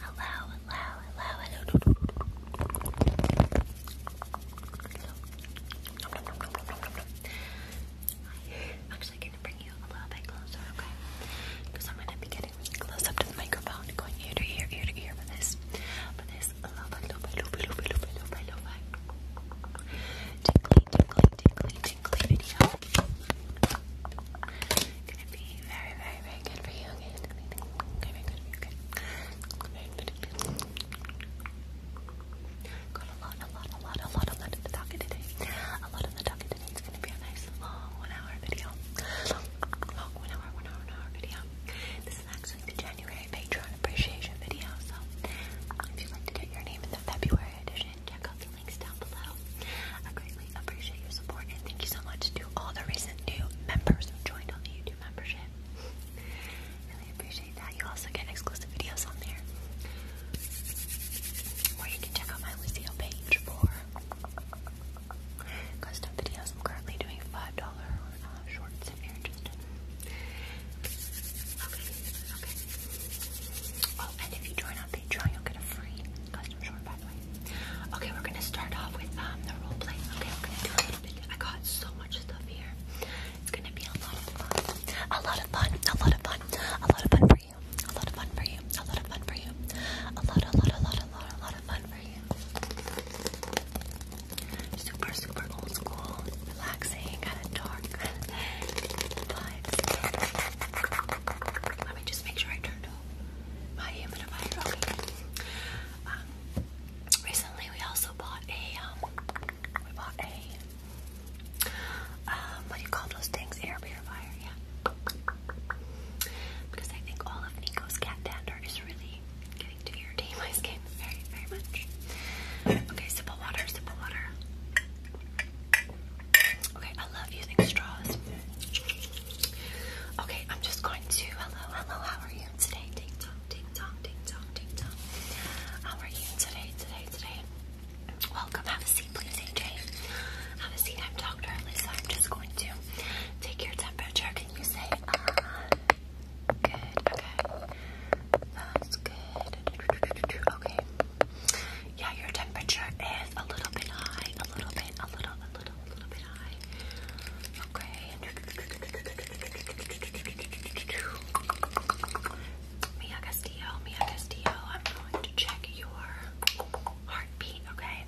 Hello, hello, I'm going to bring you a little bit closer, okay? Because I'm going to be getting close up to the microphone, going ear to ear, ear to ear for this, for this lo-fi, lo-fi, lo-fi, lo-fi, lo-fi, lo-fi, lo-fi, tingly, tingly, tingly, tingly video. Gonna be very, very, very good Got a lot, a lot, a lot, a lot, a lot of the talking today. A lot of the talking today. It's gonna be a nice long one hour video. Long, one hour, one hour, one hour video. This is actually the January Patreon appreciation video, so if you'd like to get your name in the February edition, check out links down below. I greatly appreciate your support and thank you so much to all the recent new members who joined on the YouTube membership. Really appreciate that. You also get exclusive videos on there. Or you can check out my Lucio page for custom videos. I'm currently doing $5 uh, shorts if you're interested. Okay, okay. Oh, and if you join on Patreon, you'll get a free Okay, we're gonna start off with um, the role play. Okay, I'm gonna do a little bit. I got so much stuff here. It's gonna be a lot of fun. A lot of fun. A lot of fun. A lot of fun for you. A lot of fun for you. A lot of fun for you. A lot, a lot, a lot, a lot, a lot of fun for you. Super, super old school, relaxing, kind of dark vibes. Let me just make sure I turn my am to buy it. recently, we also bought a um, um, what do you call those things? Air purifier, yeah. Because I think all of Nico's cat dander is really getting to irritate my skin very, very much. Okay, sip water, sip water. Okay, I love using straws. Okay, I'm just going to. Hello, hello, how are you today? Ding dong, ding dong, ding dong, ding dong. How are you today, today, today? Welcome, have a seat, please, AJ. Have a seat. I'm Dr. Alyssa. I'm just going to take your temperature. Can you say, uh, good? Okay, that's good. Okay. Yeah, your temperature is a little bit high, a little bit, a little, a little Okay. Mia Castillo, Mia Castillo, I'm going to check your heartbeat, okay?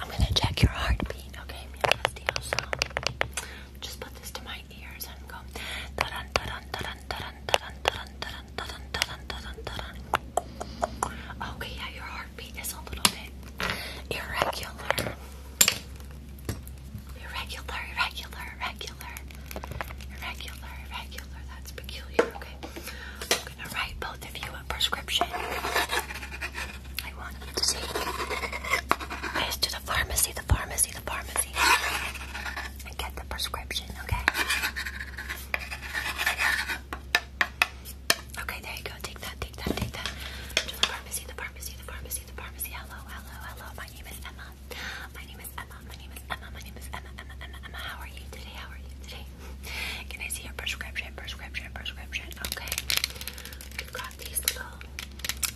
I'm, gonna check your heartbeat, okay, Mia Castillo. just put this to my ears and go. Okay, yeah, your heartbeat is a little bit irregular. Irregular, irregular, irregular. Irregular, That's peculiar. Okay. I'm gonna write both of you a prescription. I want you to take this to the pharmacy, the pharmacy, the pharmacy. And get the prescription, okay? Okay, there you go. Take that, take that, take that. To the pharmacy, the pharmacy, the pharmacy, the pharmacy. Hello, hello, hello. My name is Emma. My name is Emma. My name is Emma. My name is Emma. Emma, Emma, Emma. How are you today? How are you today? Can I see your prescription? Prescription, prescription. Okay. We've got these little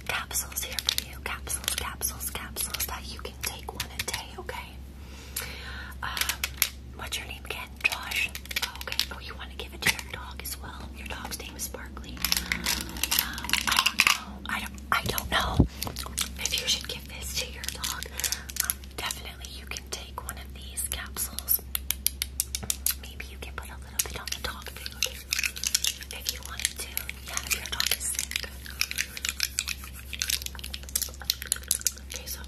capsules here for you. Capsules, capsules, capsules that you can take one a day. Okay. Okay. Um, what's your name again? Josh. Oh, okay. Oh, you want to give it to your dog as well? Your dog's name is Sparkly. Um, I don't know. I don't. I don't know if you should give this to your dog. Um, definitely, you can take one of these capsules. Maybe you can put a little bit on the dog food if you wanted to. Yeah, if your dog is sick. Okay, so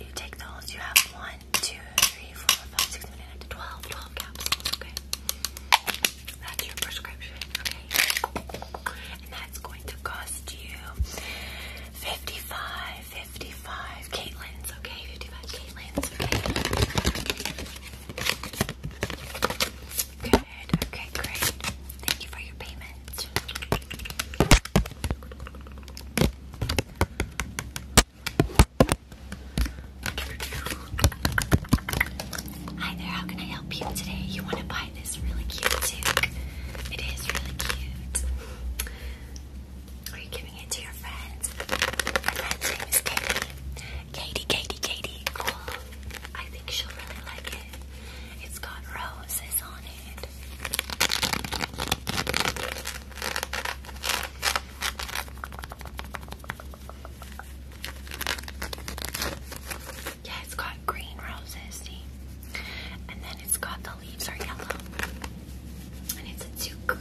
you take those. You have one, two, three, four, five, six, seven, eight, nine, 12, 12 capsules. Okay, that's your prescription. Okay, and that's going to cost you 55, 55 Caitlin's. Okay, 55 Caitlin's. Okay, good. Okay, great. Thank you for your payment. Hi there, how can I help you today? You want to buy this really cute toque? It is really cute. Are you giving it to your friends? My friend's name is Katie. Katie, Katie, Katie. Cool. I think she'll really like it. It's got roses on it. Yeah, it's got green roses, see? And then it's got the leaves are yellow. And it's a toque.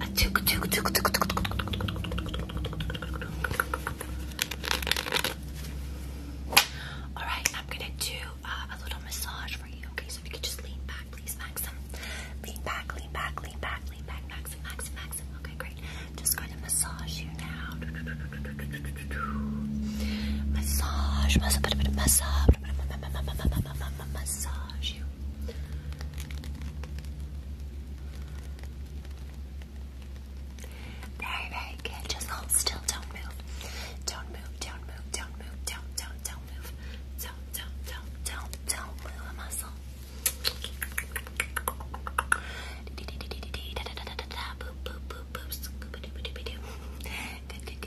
A toque, toque, toque, toque, toque, toque, toque, toque. Alright, I'm gonna do uh, a little massage for you. Okay, so if you could just lean back, please, Maxim. Lean back, lean back, lean back, lean back, Maxim, Maxim, Maxim. Okay, great. Just going to massage you now. Massage, massage, massage, massage you. Very, very good. Just hold still. Don't move. Don't move. Don't move. Don't move. Don't, don't, don't, don't move. Don't, don't, don't, don't, don't move a muscle. Boop, boop, boop, boop. Good, good, good,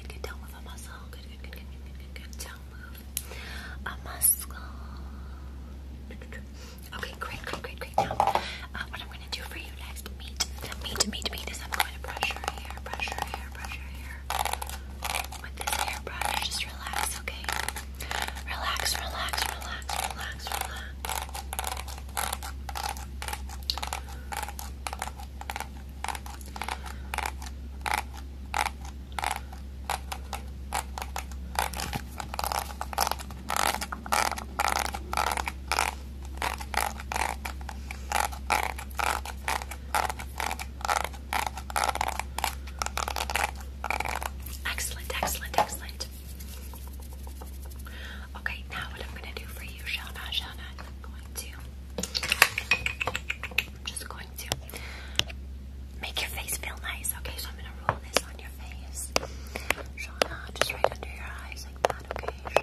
good. Don't move a muscle. Good, good, good, good, move a muscle. Okay, great, great, great, great. Now, uh, what I'm going to do for you next, meet, meet, meet, meet is I'm going to brush hair, brush hair, brush hair with this hairbrush. Just relax, okay? relax, relax, relax, relax. Relax, Excellent, excellent, excellent. Okay, now what I'm gonna do for you, Shauna, Shauna, I'm going to I'm just going to make your face feel nice. Okay, so I'm gonna roll this on your face. Shauna, just right under your eyes like that, okay?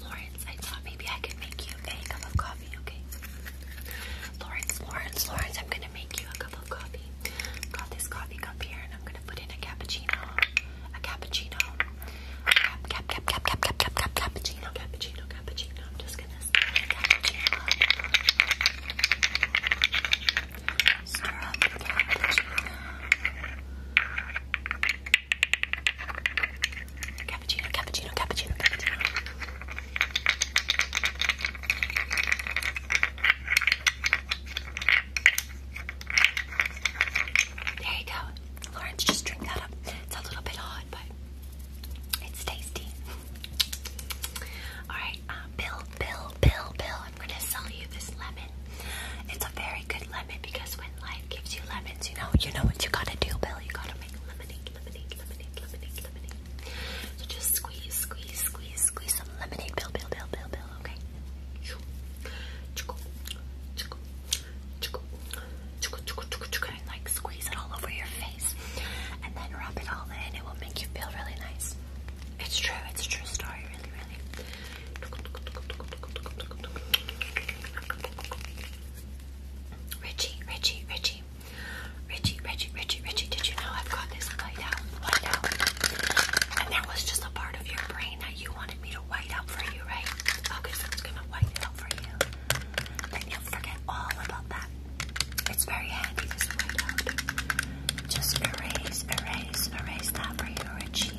Lawrence. I maybe I could make you a cup of coffee, okay? Lawrence, Lawrence, Lawrence, I'm gonna make you a cup of coffee. Got this coffee cup here and I'm gonna put in a cappuccino. A cappuccino. Cap, cap, cap, cap, cap, cap, cap, cappuccino, cappuccino, cappuccino. I'm just gonna stir up Cappuccino, cappuccino, cappuccino, cappuccino. There you go. Lawrence, just drink that up. It's a little bit hot, but it's tasty. Alright, uh, Bill, Bill, Bill, Bill, I'm gonna sell you this lemon. It's a very good lemon because when life gives you lemons, you know, you know what you gotta do, Bill. You gotta make lemonade lemonade, lemonade, lemonade, lemonade. So just squeeze, squeeze, squeeze, squeeze some lemonade. Bill, bill, bill, bill, bill. Okay. And like squeeze it all over your face, and then rub it all in. It will make you feel really nice. It's true. It's a true story. Really, really. Richie, Richie, Richie. Richie, Richie, Richie, Richie, did you know I've got this white out, And that was just a part of your brain that you wanted me to white out for you, right? Okay, so it's gonna white out for you. Then you'll forget all about that. It's very handy, this white Just erase, erase, erase that for you, Richie.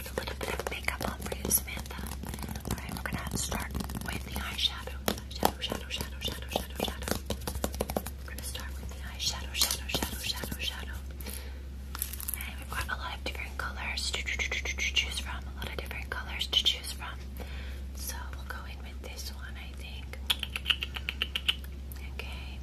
a little bit of makeup on for you, Samantha. Alright, we're gonna start with the eyeshadow. Shadow, shadow, shadow, shadow, shadow, shadow. We're gonna start with the eyeshadow, shadow, shadow, shadow, shadow. And we've a lot of different colors to choose from. A lot of different colors to choose from. So we'll go in with this one, I think. Okay.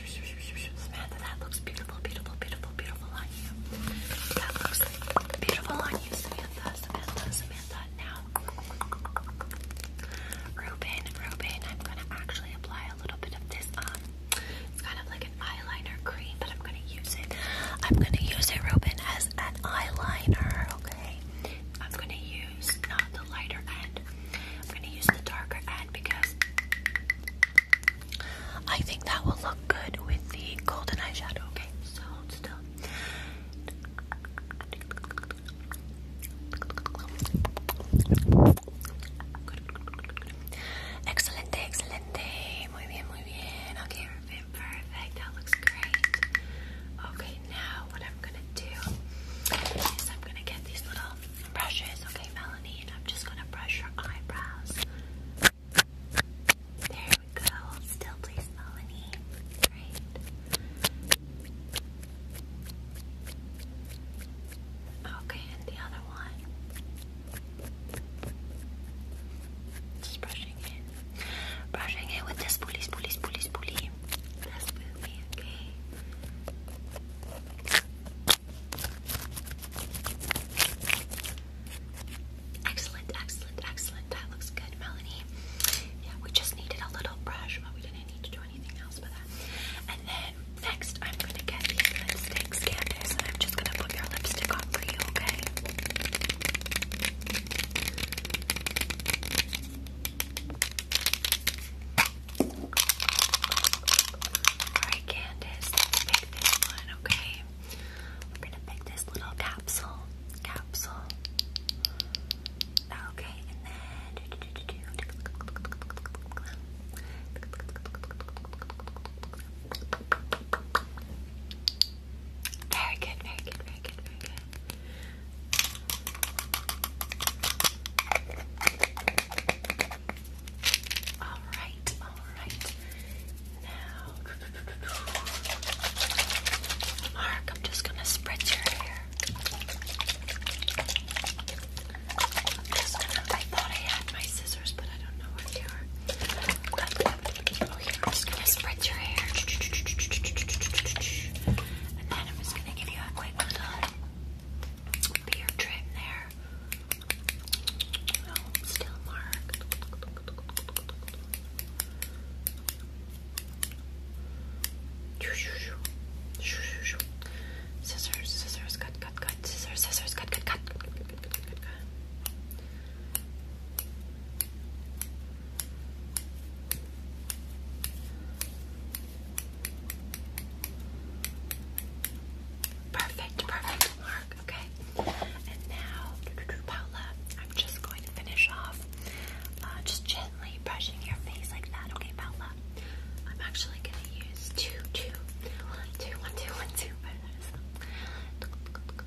Samantha, that looks beautiful, beautiful, beautiful, beautiful on you. That looks beautiful on you, Samantha, Samantha, Samantha. Now, Ruben, Ruben, I'm gonna actually apply a little bit of this. Um, it's kind of like an eyeliner cream, but I'm gonna use it. I'm gonna use it, Ruben, as as an eyeliner, okay? I'm gonna use not the lighter end, I'm gonna use the darker end because I think that will look good with the golden eyeshadow, okay? So still. Excelente, excelente. Muy bien, muy bien. Okay, perfect, perfect. That looks great. Okay, now what I'm gonna do is I'm gonna get these little brushes, okay, Melanie, and I'm just gonna brush your eyebrows. There we go. Still, please, Melanie. Great. Okay, and the other one. brush brushing it. with this spoolie, spoolie, spoolie, spoolie. That's with me, okay? Excellent, excellent, excellent. That looks good, Melanie. Yeah, we just needed a little brush, but we didn't need to do anything else but that. And then next, I'm going to get these lipsticks, Candace, and I'm just going to put your lipstick on for you, okay? Alright, Candace, pick this one, okay? We're gonna pick this little capsule. Capsule. Okay, and then very good, very good, very good, very good. All right, all right. Now, Mark, I'm just gonna spread your hair. I'm just gonna. I thought I had my scissors, but I don't know where they are. I'm just gonna spread your hair. And then I'm just gonna give you a quick little beard trim there. Oh, still marked. Scissors, scissors, cut, cut, cut. Scissors, scissors, cut, cut, cut. Perfect, perfect mark, okay? And now, Paula, I'm just going to finish off uh, just gently brushing your face like that, okay, Paula? I'm actually going to use two, two,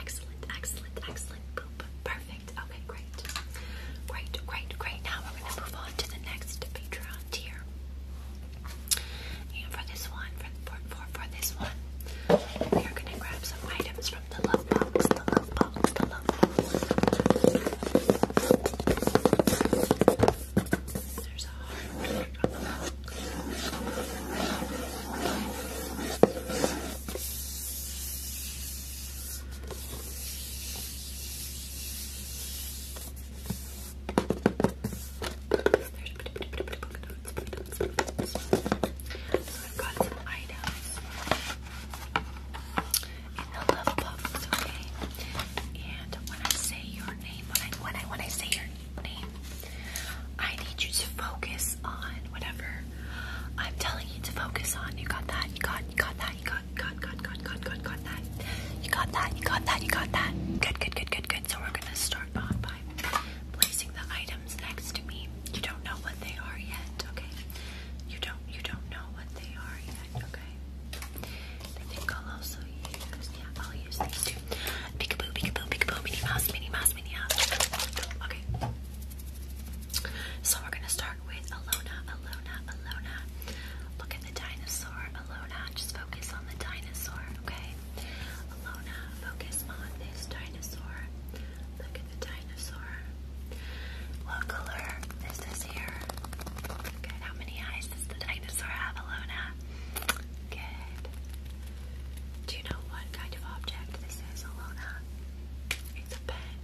Excellent, excellent, excellent poop. Perfect. Okay, great. Great, great, great. Now we're going to move on to the next Patreon tier. And for this one, for, for, for this one, we are going to grab some items from the love box, the love box, the love box. There's a heart from the milk. So I've got some items in the love bubbles, okay? And when I say your name, when I when I say your name, I need you to focus on whatever I'm telling you to focus on. You got that? You got got that? You got got got got got got got that? You got that? You got that? You got that? Good, good, good, good, good. So we're gonna start by placing the items next to me. You don't know what they are yet, okay? You don't you don't know what they are yet, okay? Okay. I think I'll also use, yeah, I'll use these two. Peekaboo, peekaboo, peekaboo, mini mouse, mini mouse, mini mouse. Okay. So we're gonna start with Alona, Alona, Alona. Look at the dinosaur, Alona. Just focus on the dinosaur, okay? Alona, focus on this dinosaur. Look at the dinosaur. What color is this here? Good. How many eyes does the I dinosaur Avalona. Good. Do you know what kind of object this is, Alona? It's a pen.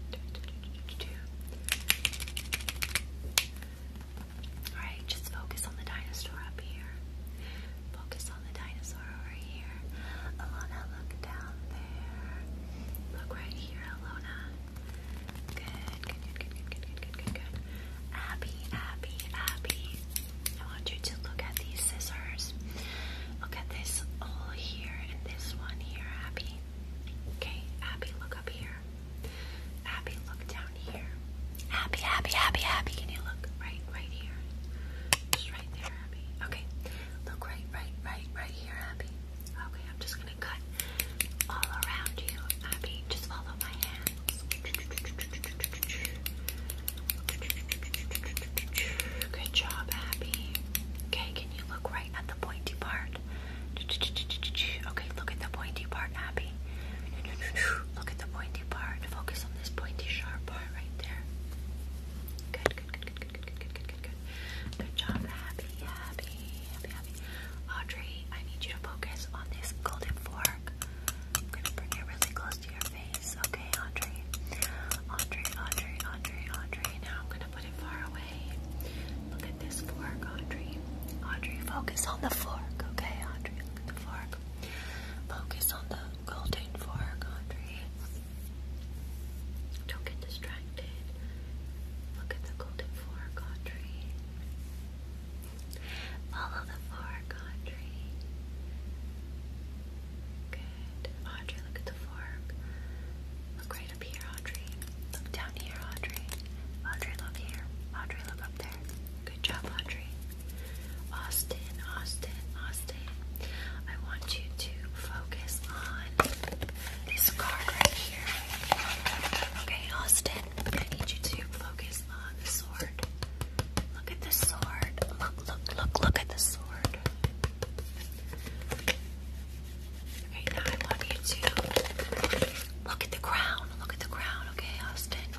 Alright, just focus on the dinosaur up here. Focus on the dinosaur over here. Alona, look down there. Look right here, Alona. Good, good, good, good, good, good, good, good, good. Abby, Abby, Abby. I want you to look at these scissors. Look at this all here and this one here, Abby. Okay, Abby, look up here. Abby, look down here. Abby, Abby, Abby, Abby. Can you look right, right here? right there, Abby. Okay, look right, right, right, right here, Abby. Okay, I'm just Good job, Happy. Okay, can you look right at the pointy part? Okay, look at the pointy part, Abby. Look at the pointy part. Focus on this pointy, sharp part right there. Good, good, good, good, good, good, good, good, good, good. job, Abby. Abby, Audrey, I need you to focus on this golden fork. I'm gonna bring it really close to your face, okay, Audrey? Audrey, Audrey, Audrey, Audrey. Now I'm gonna put it far away. Look at this fork, Audrey. Audrey, focus on the fork, okay, Audrey? Look at the fork. Focus on the golden fork, Audrey. Don't get distracted. Look at the golden fork, Audrey. Follow the fork, Audrey. Good. Audrey, look at the fork. Look right up here, Audrey. Look down here, Audrey. Audrey, look here. Audrey, look up there. Good job, Audrey. Austin, Austin, Austin. I want you to focus on this card right here. Okay, Austin. I need you to focus on the sword. Look at the sword. Look, look, look, look at the sword. Okay, now I want you to look at the crown. Look at the crown, okay, Austin?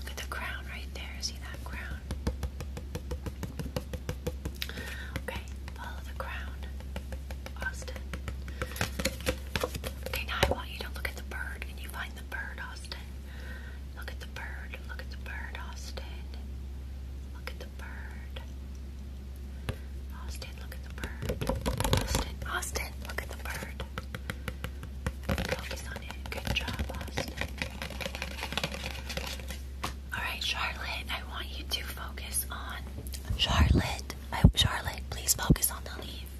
Look at the crown right there. See that crown? Okay, follow the crown. Austin. Okay, now I want you to look at the bird. Can you find the bird, Austin? Look at the bird. Look at the bird, Austin. Look at the bird. Austin, look at the bird. Austin, Austin, look at the bird. Focus on it. Good job, Austin. Alright, Charlotte, I want you to focus on Charlotte. I, Charlotte, please focus on the leaf.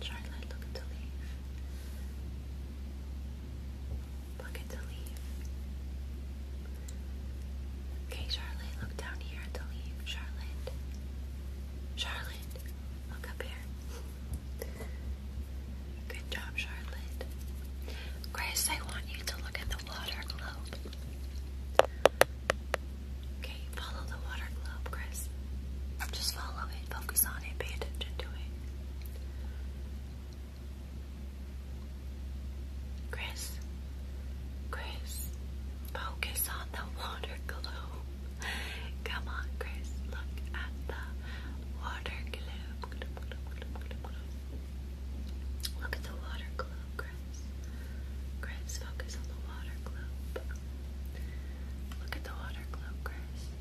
Charlotte, look at the leaf. Look at the leaf. Okay, Charlotte, look down here at the leaf. Charlotte. Charlotte, look up here. Good job, Charlotte. Grace, I want you to look at the water globe. Okay, follow the water globe, Chris. Just follow it, focus on it, pay attention to it. Chris, Chris, focus on the water glow. Come on, Chris, look at the water glow. Look at the water glow, Chris. Chris, focus on the water globe. Look at the water globe, Chris.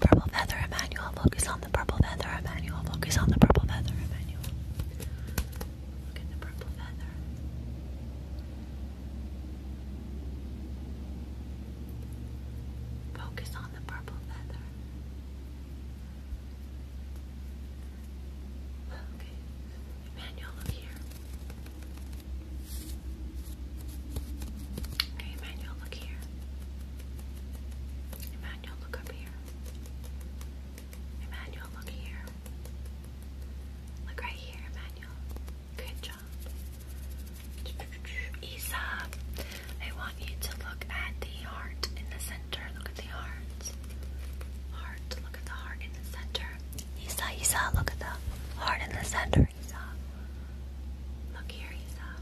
Purple feather, Emmanuel. Focus on the purple feather, Emmanuel. Focus on the purple feather, Emmanuel. Look at the purple feather. Focus on the purple feather. Okay, Emmanuel, look here. Okay, Emmanuel, look here. Emmanuel, look up here. Emmanuel, look here. Look right here, Emmanuel. Good job. Isa, I want you to look at the heart in the center. Look at the heart. Heart, look at the heart in the center. Isa, Isa, look at the heart in the center. Isa. Look here, Isa.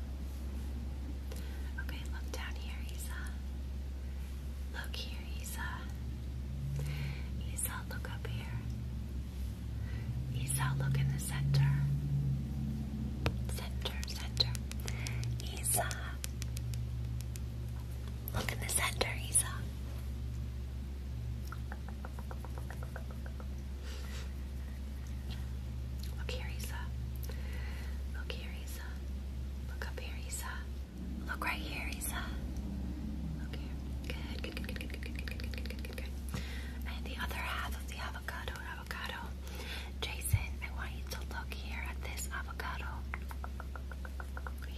Okay, look down here, Isa. Look here, Isa. Isa, look up here. Isa, look in the center. Center, center. Isa. Look in the center, Isa. Look here, Isa. Look here, Isa. Look up here, Isa. Look right here, Isa. Look here. Good, good, good, good, good, good, good, good, good, good, good, And the other half of the avocado, avocado. Jason, I want you to look here at this avocado.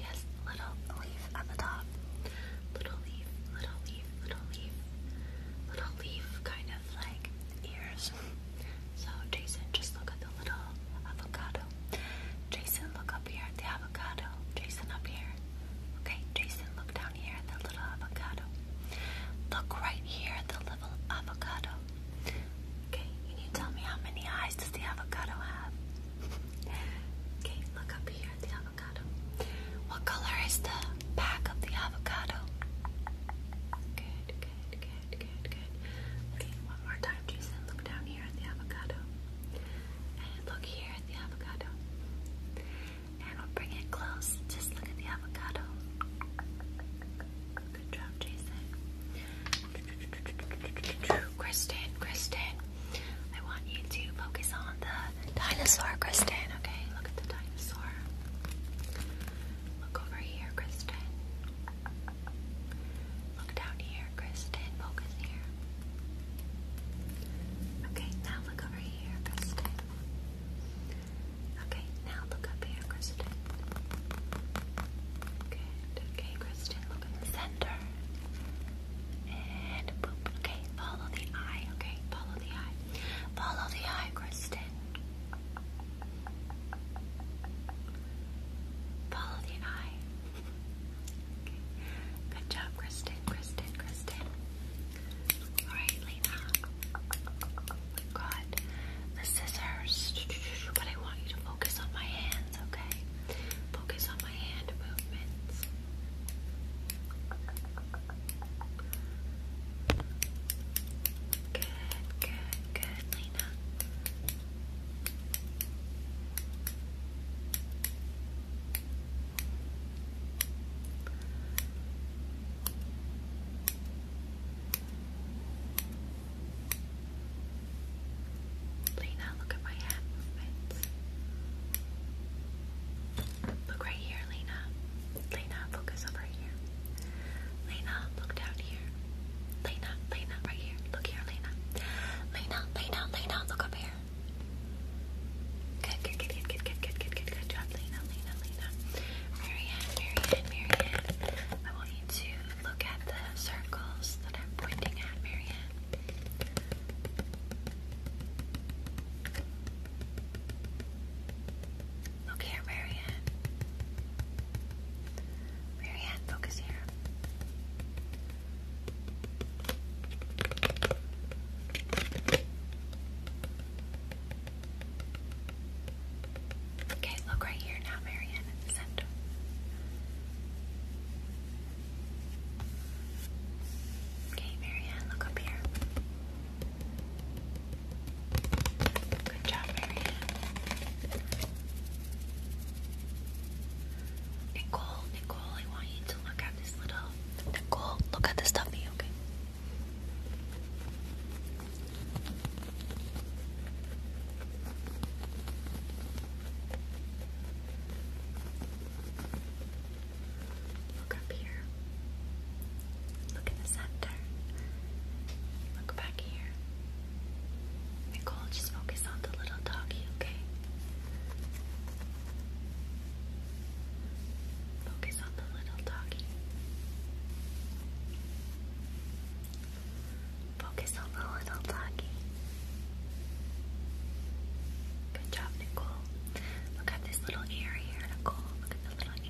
Yes, little leaf at the top. Little leaf, little leaf, little leaf. Little leaf kind of like ears else. So, Jason, just look at the little avocado. Jason, look up here at the avocado. Jason, up here. Okay, Jason, look down here at the little avocado. Look right here at the little avocado. Okay, can you tell me how many eyes does the avocado have? Okay, look up here at the avocado. What color is the back of the avocado? Okay, okay, okay. Good, good, good. Okay, one more time, Jason. Look down here at the avocado. And look here at the avocado. And we'll bring it close. Just look at the avocado. Good job, Jason. Kristen, Kristen. I want you to focus on the dinosaur, Kristen. Okay, look at the dinosaur. Look over here, Kristen. Look down here, Kristen. Focus here. Okay, now look over here, Kristen. Okay, now look up here, Kristen. Good. Okay, Kristen, look in the center. And boop. Okay, follow the eye. Okay, follow the eye. Follow the eye, Kristen. Follow the eye. Good job, Kristen, Kristen, Kristen. Alright, Lena. God, the scissors. But I want you to focus on my hands, okay? Focus on my hand movements. Good, good, good, Lena. Lena, look at my hand Look right here, Lena. Lena, focus over here. Lena, look down here. Lena, Lena, right here. Look here, Lena. Lena, Lena, Lena, look up here. Good, good, good, good, good, good, good, good, good, good job, Lena, Lena, Lena. Marianne, Marianne, Marianne. I want you to look at the circles that I'm pointing at, Marianne. Look here, Mary Ann. focus here. Okay, look right here now, Mary Ann, the center. Okay, Marianne, look up here. Good job, Marianne. Nicole, Nicole, I want you to look at this little. Nicole, look at this dummy, okay? Look up here. Look in the center. Look back here. Nicole, just focus on the little doggy, okay? Focus on the little doggy. Focus on the little doggy. Good job, Nicole. Look at this little ear here, Nicole. Look at the little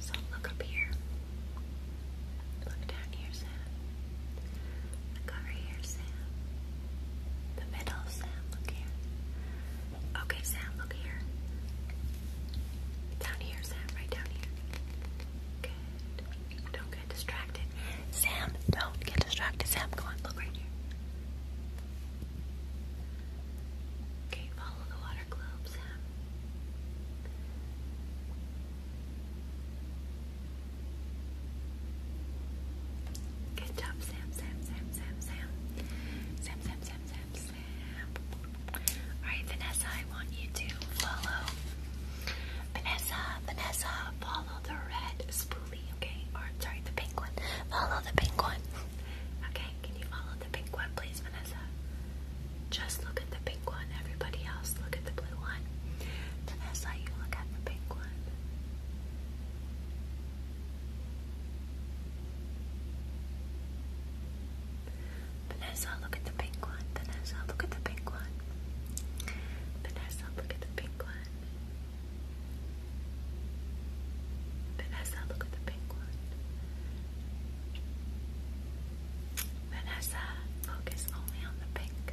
So look up here. Look down here, Sam. Look over here, Sam. The middle, Sam. Look here. Okay, Sam, look here. Down here, Sam. Right down here. Good. Don't get distracted. Sam, don't get distracted. Sam, go on. Look right here. Okay, follow the water globe, Sam. Good job, Sam, Sam, Sam, Sam, Sam. Sam, Sam, Sam, Sam, Sam. Alright, Vanessa, I want you to follow. Vanessa, Vanessa, follow the red spoolie, okay? Or, sorry, the pink one. Follow the pink one. okay, can you follow the pink one, please, Vanessa? Just look at the pink one. Everybody else, look at the blue one. Vanessa, you look at the pink one. Vanessa, look at the pink one. Vanessa, look at the pink one. Vanessa, look at the pink one. Vanessa, look at the pink one. Vanessa, focus only on the pink.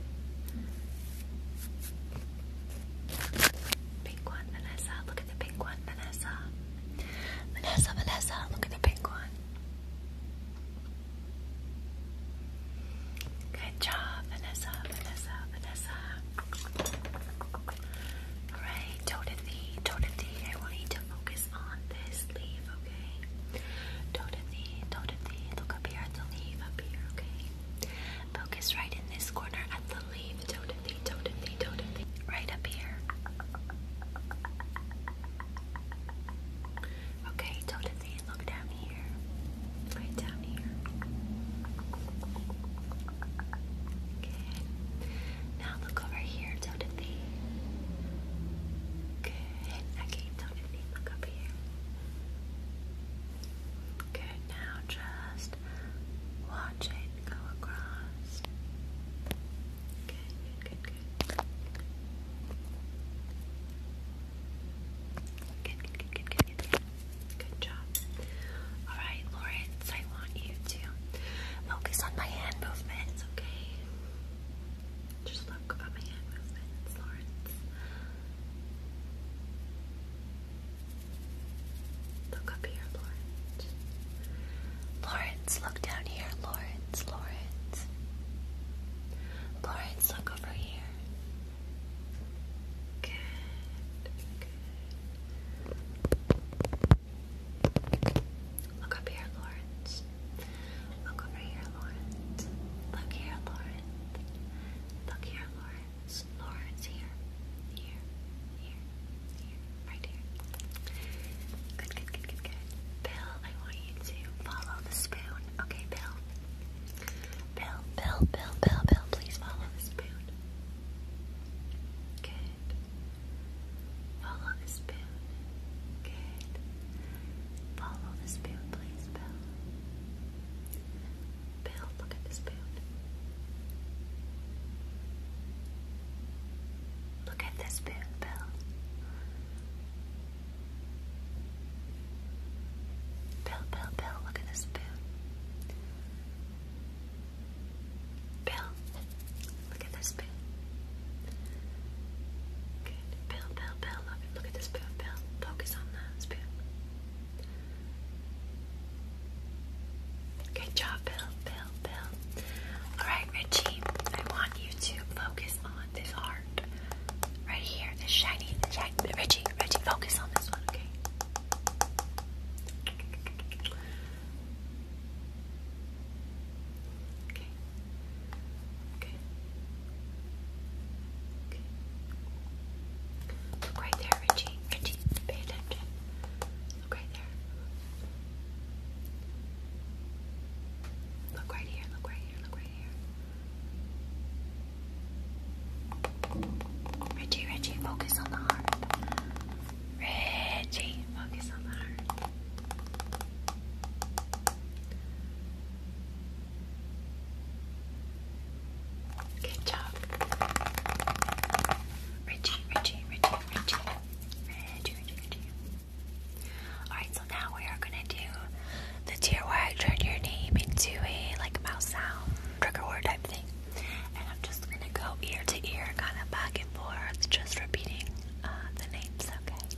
Pink one, Vanessa. Look at the pink one, Vanessa. Vanessa, Vanessa, look at the pink one. Good job, Vanessa, Vanessa, Vanessa. Alright, Totally, totally. I want you to focus on this leaf, okay? Totally, totally. Look up here at the leaf, up here, okay? Focus right in this corner at the leaf. Totally, totally, totally. Right up here. Okay, totally. Look down here. Right down here. Okay. Now look over here, Timothy. Okay, Timothy, look over here. Good. Now just watch it go across. Good, good, good, good, good, good, good job. All right, Lawrence, I want you to focus on my hand movements, okay? Just look at my Lawrence. Look up here, Lawrence. Lawrence, look down here, Lawrence, Lawrence. Lawrence, look over here. Good, good. Look up here, Lawrence. Look over here, Lawrence. Look here, Lawrence. Look here, Lawrence. Lawrence here. Here. Here. Here. Right here. Good, good, good, good, good. Bill, I want you to follow the spoon. Okay, Bill. Bill, Bill, Bill, Bill, Bill, please follow the spoon. Good. Follow the spoon. Good. Follow the spoon, please, Bill. Bill, look at the spoon. Look at the spoon, Bill. Bill, Bill, Bill, look at the spoon. Bill, Look at this pill. Good. Pill, pill, pill. Look, at this pill, pill. Focus on that pill. Good job, Bill, Bill, Bill. Alright, Richie, I want you to focus on this heart. Right here, this shiny, shiny. Richie, Richie, focus on this one, okay? Okay. Okay. Okay. Look right there, Richie. Richie, pay attention. Look right there. Look right here, look right here, look right here. Richie, Richie, focus on the heart. Reggie, focus on the heart. Good job. Richie, Richie, Richie, Richie. Richie, Richie, Alright, so now we are gonna do the tier where I turn your name into a like mouse sound trigger word type thing. And I'm just gonna go ear to ear, kinda back and forth, just repeating uh, the names, okay?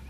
Suit, suit,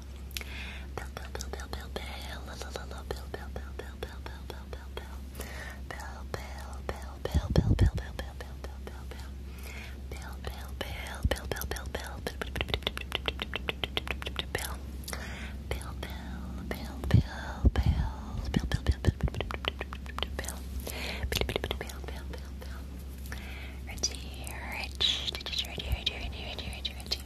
Reggie, Rich, Reggie, Reggie, Reggie, Reggie, Reggie, Reggie,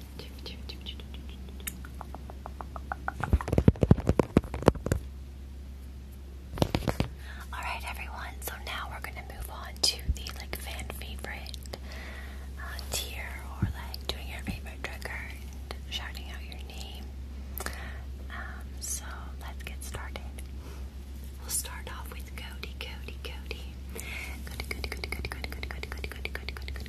All right, everyone. So now we're gonna move on to the like fan favorite tier, or like doing your favorite trigger and shouting out your name. so let's get started. We'll start off with Cody, Cody, Cody. Cody, Cody, Cody, Cody, Cody, Cody, Cody, Cody, Cody, Cody, Cody,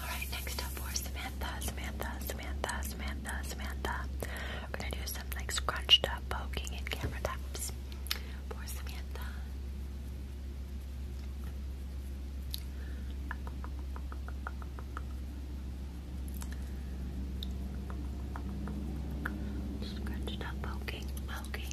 Alright, next up for Samantha, Samantha, Samantha, Samantha, Samantha. We're gonna do some like scrunched up poking and camera taps. Poor Samantha. Scrunched up poking, poking.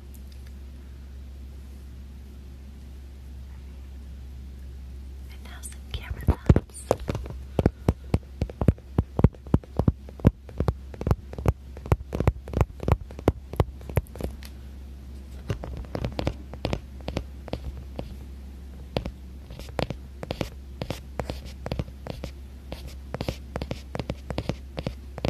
And now some camera thoughts.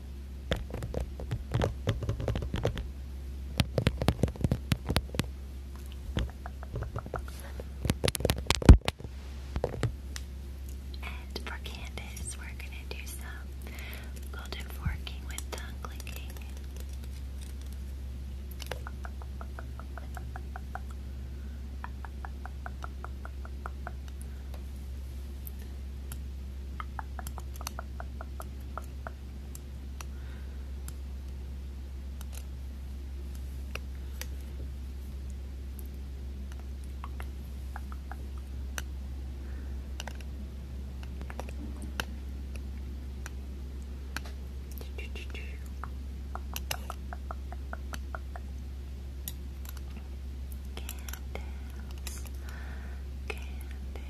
And for Candace, we're going to do some golden forking with tongue clicking. Candace. Candy, candy,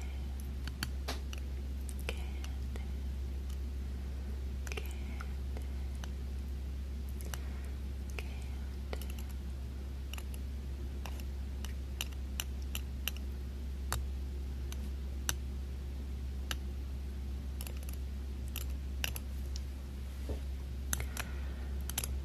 candy, candy. Candy,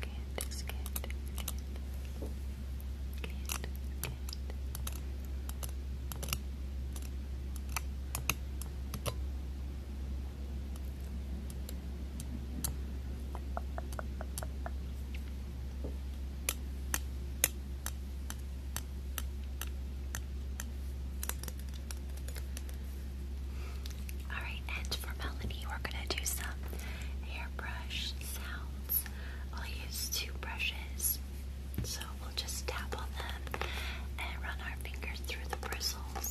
Can't, can't, can't, can't, can't. Alright, and for Melanie, we're gonna do some hairbrush sounds. I'll use two brushes, so we'll just tap on them and run our fingers through the bristles.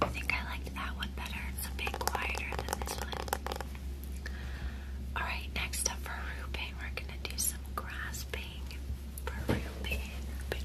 I think I liked that one better. It's a bit quieter than this one. Alright, next up for Ruben, we're gonna do some grass tapping for Ruben, Ruben, Ruben. Thank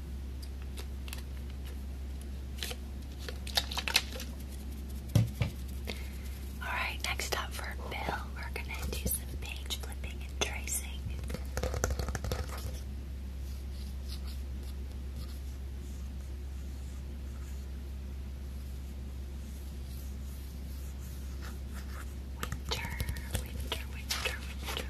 Alright, next up for Bill, we're gonna do some page flipping and tracing. Winter, winter, winter, winter.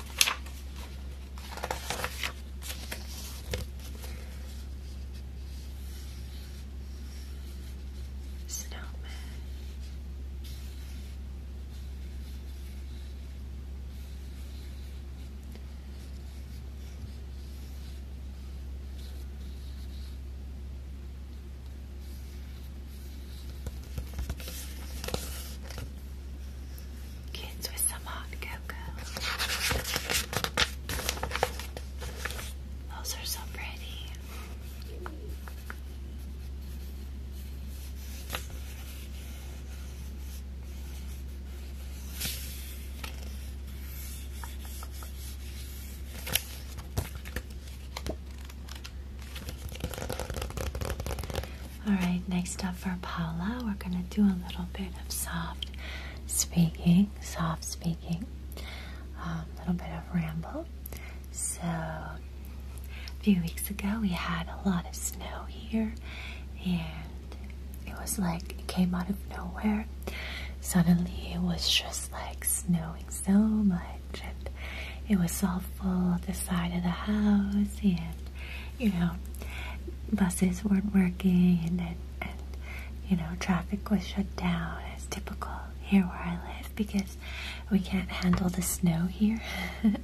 Snowman. Kids with some hot cocoa. Those are so pretty. Alright, next up for Paula, we're going to do a little bit of soft speaking, soft speaking, um, a little bit of ramble. So, a few weeks ago we had a lot of snow here, and it was like it came out of nowhere. Suddenly it was just like snowing so much and it was all full the side of the house and you know buses weren't working and, and, you know traffic was shut down as typical here where I live because we can't handle the snow here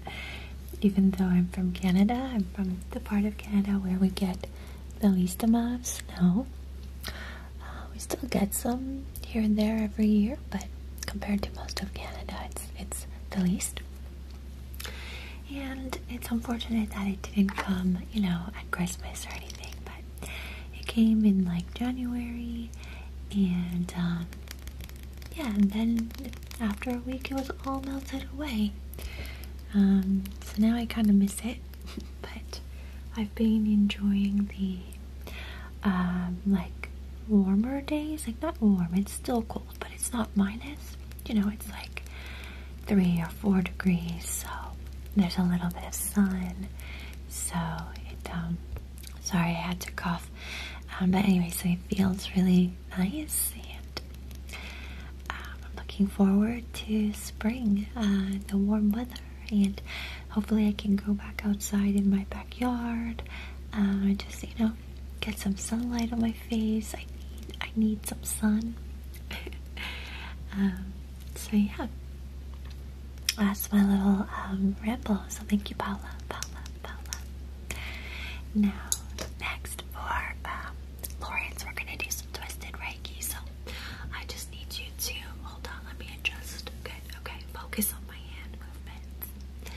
even though I'm from Canada I'm from the part of Canada where we get the least amount of snow uh, we still get some here and there every year but compared to most of Canada it's it's the least. And it's unfortunate that it didn't come, you know, at Christmas or anything, but it came in like January, and um, yeah, and then after a week it was all melted away. Um, so now I kind of miss it, but I've been enjoying the um, like warmer days, like not warm, it's still cold, but it's not minus. You know, it's like three or four degrees, so there's a little bit of sun. So it, um, sorry, I had to cough. Um, but anyway, so it feels really nice, and um, I'm looking forward to spring, uh, the warm weather, and hopefully I can go back outside in my backyard. Uh, just you know, get some sunlight on my face. I need, I need some sun. Um, so yeah, that's my little um, So thank you, Paula, Paula, Paula. Now, next for um, Lawrence, we're gonna do some twisted reiki. So I just need you to hold on. Let me adjust. Good. Okay. Focus on my hand movements.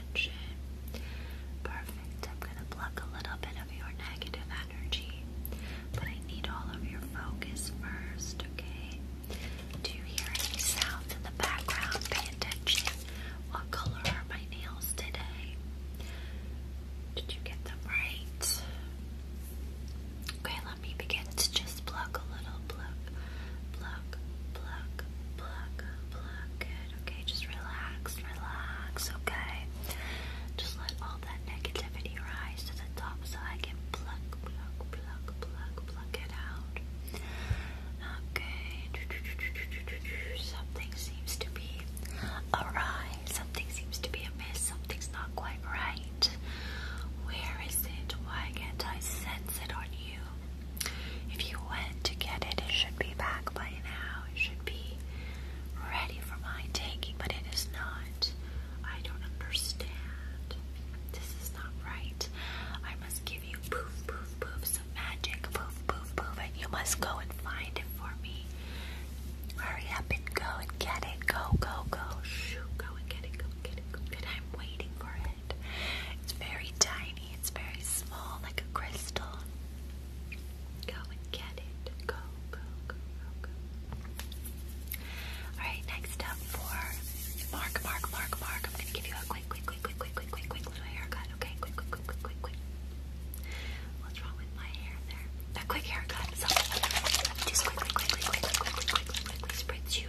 attention. Perfect. I'm going to pluck a little bit of your negative energy, but I need all of your focus first, okay? Do you hear any sounds in the background? Pay attention. What color are my nails today? Did you get them right? Okay, let me begin to just pluck a little, pluck, pluck, pluck, pluck, pluck, pluck. Good. Okay, just relax, relax. Okay, just let all that negativity rise to the top so I can pluck, pluck, pluck, pluck, pluck it out. Okay, something seems to be awry. Something seems to be amiss. Something's not quite right. Where is it? Why can't I sense it on you? if you went to get it, it should be back by now. It should be ready for my taking, but it is not. I don't understand. This is not right. I must give you poof, poof, poofs of magic. Poof, poof, poof, and you must go and find it for me. Hurry up and go and get it. Go, go, go. Shoo, go and get it. Go and get it. Go and get it. I'm waiting for it. It's very tiny, it's very small, like a crystal. Go and get it. Go, go, go, go, go. Alright, next up for Mark, Mark, Mark, Mark. I'm gonna give you a quick, quick, quick, quick, quick, quick, quick, quick little haircut, okay? Quick, quick, quick, quick, quick, quick. What's wrong with my hair there? A quick haircut. So, just quickly, quickly, quickly, quickly, quickly, quickly, quickly, quickly spritz you.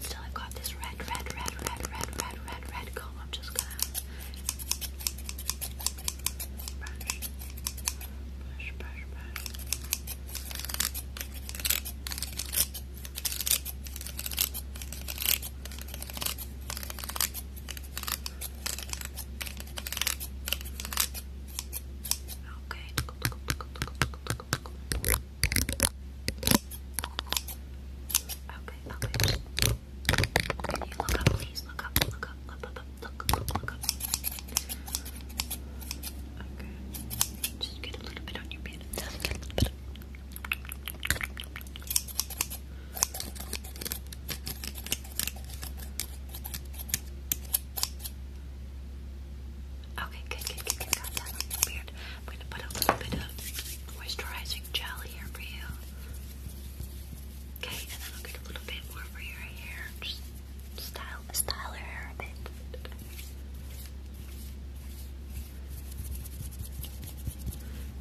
still. I've got this red, red, red, red, red, red, red, red comb. I'm just gonna brush, brush, brush, brush. Okay. Okay, okay. you look up, please? Look up, look up, look up, look look, look up. Okay. Just get a little bit on your beard. Okay, good, good, good, good. Got that I'm going to put a little bit of moisturizing jelly here for you. Okay, and then I'll get a little bit more for your hair. Just style, style your hair a bit.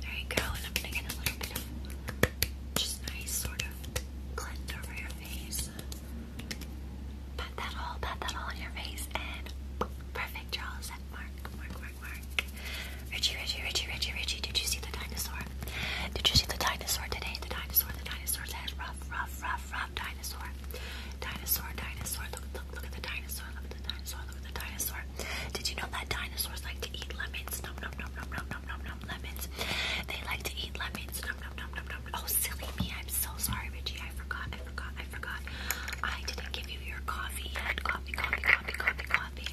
There you go, and I'm gonna get a little bit of just nice sort of cleanser for your face. Pat that all, pat that all on your face, and perfect. you set. Mark, mark, mark work, work. Richie, Richie, Richie, did you see the dinosaur? Did you see the dinosaur today? The dinosaur, the dinosaur's head, rough, rough, rough, rough dinosaur. Dinosaur, dinosaur, look, look, look at the dinosaur, look at the dinosaur, look at the dinosaur. Did you know that dinosaurs like to eat lemons? Nom, nom, nom, nom, nom, nom, nom, nom, lemons. They like to eat lemons. Nom, nom, nom, nom, nom. Oh, silly me, I'm so sorry, Richie, I forgot, I forgot. I forgot. I didn't give you your coffee yet. Coffee, coffee, coffee, coffee, coffee.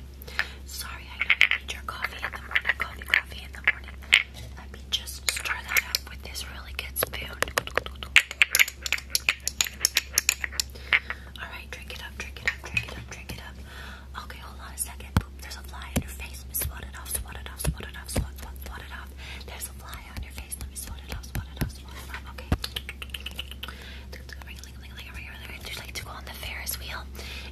Sorry, I know you need your coffee in the morning. Coffee, coffee in the morning. Let me just stir that up with this really good spoon. Alright, drink it up, drink it up, drink it up, drink it up. Okay, hold on a second. Boop, there's a fly on your face. Swat it off, swat it off, swat it off, swat, swat, swat it off. There's a fly on your face. Let me swat it off, swat it off, swat it off. Okay. Bring bling, bling, bling, bling. There's like to go on the Ferris wheel.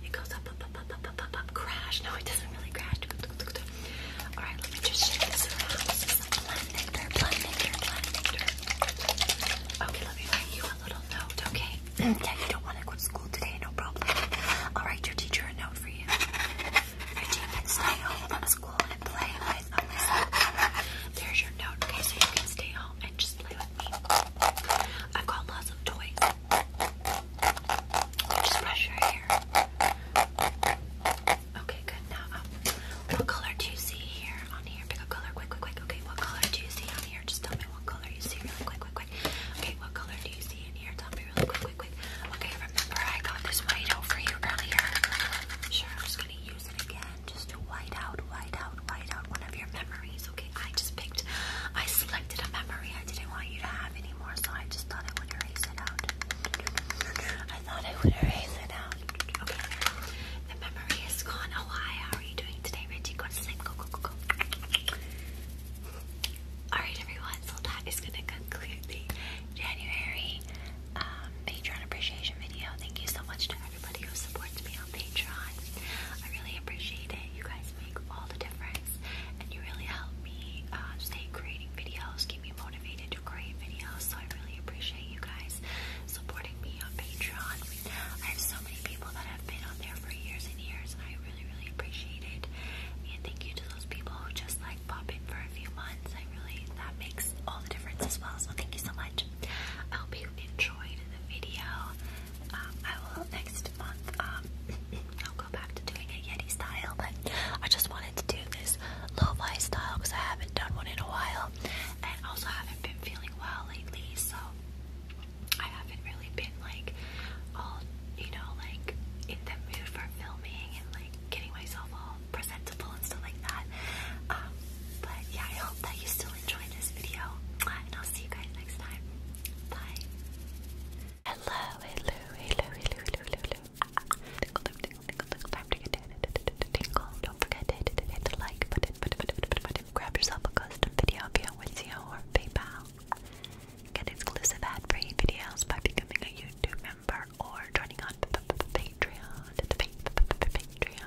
It goes up, up, up, up, up, up, up, crash. No, it doesn't really crash. All right, let me just shake this Okay, let me write you a little note, okay? yeah, you don't want to go school today, no problem. I'll write your teacher a note for you. Reggie can stay home from school and play There's your note, okay? So you can stay home and just just play with me. I've got lots of toys. Just brush your hair. Okay, good. Now, um, what color do you see here on here? Pick a color, quick, quick, quick. Okay, what color do you see on here? Just tell me what color you see, really quick, quick, quick. Okay, what color do you see in here? Tell me really quick, quick, quick. Okay, remember I got this white out for you earlier. Sure, I'm just gonna use it again just white out, white out, white out one of your memories, okay? I just picked, I selected a memory I didn't want you to have anymore, so I just thought I would erase it out. I thought I would erase it out. Okay, the memory is gone. Oh, hi, how are you doing today, Richie? Go to sleep, go, go, go, go. Alright, everyone, so that is going to conclude the January um, Patreon appreciation video. Thank you so much to everybody who supports me on Patreon. I really appreciate it. You guys make all the difference, and you really help me uh, stay creating videos, keep me motivated to create videos. So I really appreciate you guys supporting me on Patreon. I have so many people that have been on there for years and years, and I really, really appreciate it. And thank you to those people who just like pop in for a few months. I really that makes all the difference as well. So thank you so much. I hope you enjoyed video. Um, I will next month. Um, I'll go back to doing a Yeti style, but I just wanted to do this low fi style because I haven't done one in a while, and also haven't been feeling well lately, so I haven't really been like all you know like in the mood for filming and like getting myself all presentable and stuff like that. Um, but yeah, I hope that you still enjoyed this video, and I'll see you guys next time. Bye. Hello, hello, hello, hello, hello, hello. Tinkle, tinkle, tinkle, to get Don't forget to like button, button, button, button, button. Grab yourself a custom video via Wizio or PayPal. Get exclusive ad-free videos by becoming a YouTube member or joining on Patreon. Patreon.